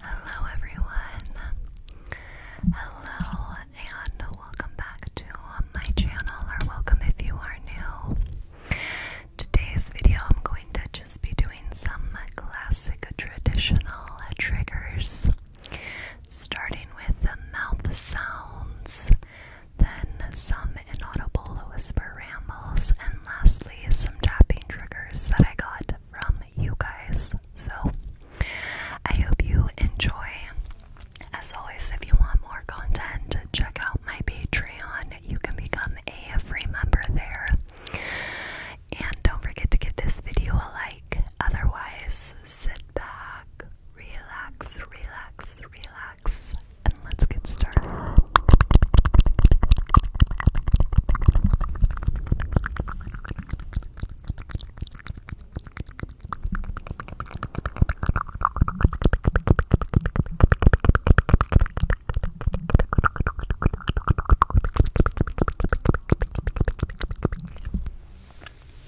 Hello, everyone. Hello, and welcome back to my channel, or welcome if you are new. Today's video, I'm going to just be doing some classic traditional triggers, starting with the mouth sounds then some inaudible whisper rambles, and lastly, some tapping triggers that I got from you guys. So, I hope you enjoy. As always, if you want more content, check out my Patreon. You can become a free member there. And don't forget to give this video a like. Otherwise, sit back, relax, relax, relax and let's get started.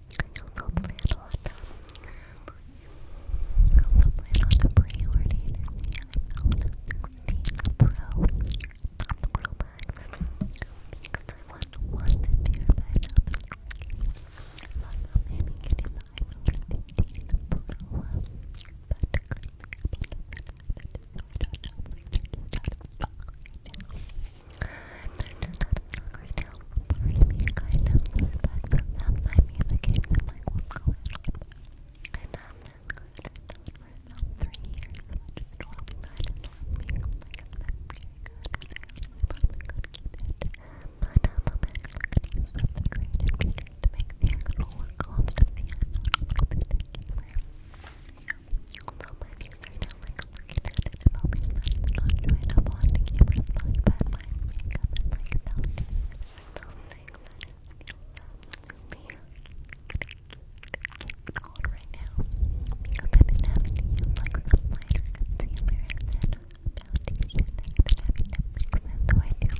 also plan on also on pre-ordering the iPhone not the Pro Max because I want one to do by now I thought maybe getting the iPhone 15 Pro I'm not know if they're they're just not in right now. Part of me kind of suspects that that might be the case. I'm like, what's going on? I've done this good. I've done it for three I'm just walking by and not being I'm not very good. And I really probably could keep it. But um, I'm actually going to use some of the creative features to make the actual work cost of the episode a little bit easier. Yeah. Although my views right now, looking at it if I'll be letting on to it up on the camera spot, but my makeup is like melting. So thank that it now. Because I've been having like some lighter concealer and then foundation I've been having to mix in, so I do like the numbers.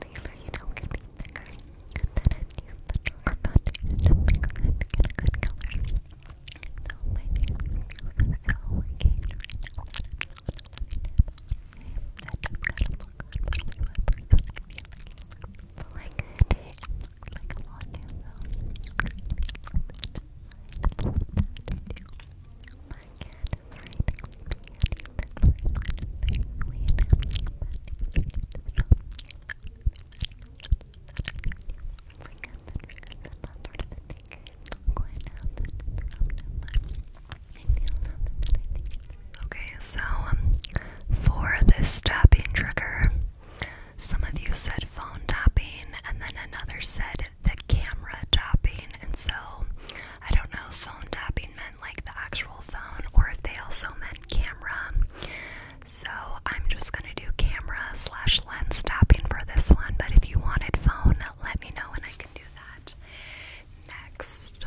Concealer, you know, can be thicker. Then I've the foundation to get a good color. So my fingers are so engaged right now. That just kind of look good, but only one person I feel like it looks like it looks like a lot new though. I'm trying to be a little bit to my cat is trying to clean me and he lives in a very weird, but he's trying to stop me. Okay, so um, for this tapping trigger, some of you said phone tapping, and then another said the camera tapping, and so I don't know if phone tapping meant like the actual phone or if they also meant camera. So I'm just gonna do camera slash lens tapping for this one, but if you wanted phone, let me know and I can do that next.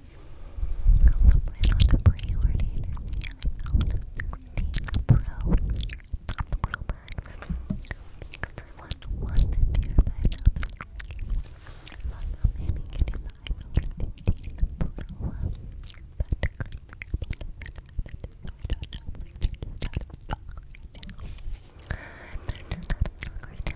Lovely look pre-ordered the iPhone 16 Pro Pro Max because I want one dear backup. I'm maybe getting the iPhone 15 Pro um, but currently I don't know, like they're just out of stock right now. They're just out of stock right now.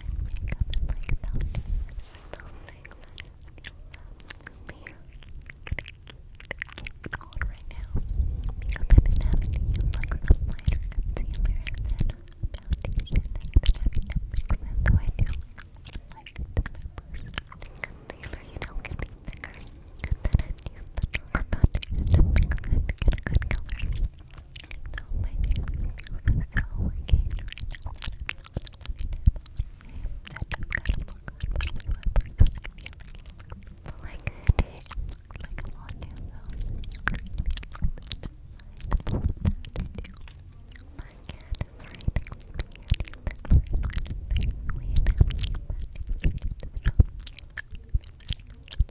my makeup and like foundation something that you I've been having to use like some lighter concealer and then foundation and I've been having to mix it I do like like the concealer, you I've used the a good color. So my fingers are so working right now. That just gotta look good, but only one person I feel like it's like, like a lot new phone. I'm trying to be a little bit mindful of that to do. My cat is right next to me and he lives right on the street. We had him, but he's right at the top. He's right at the top.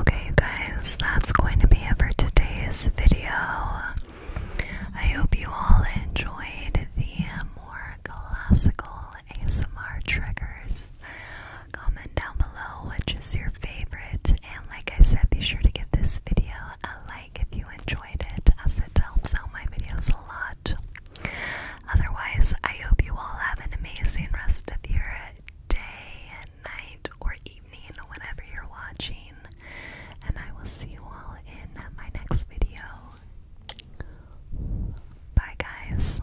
Okay, guys, that's going to be it for today's video. I hope you all enjoyed the more classical ASMR triggers. Comment down below which your favorite, and like I said, be sure to give this video a like if you enjoyed it, as it helps out my videos a lot. Otherwise, I hope you all have an amazing rest of your day and night or evening, whenever you're watching, and I will see you all in my next video. Bye, guys.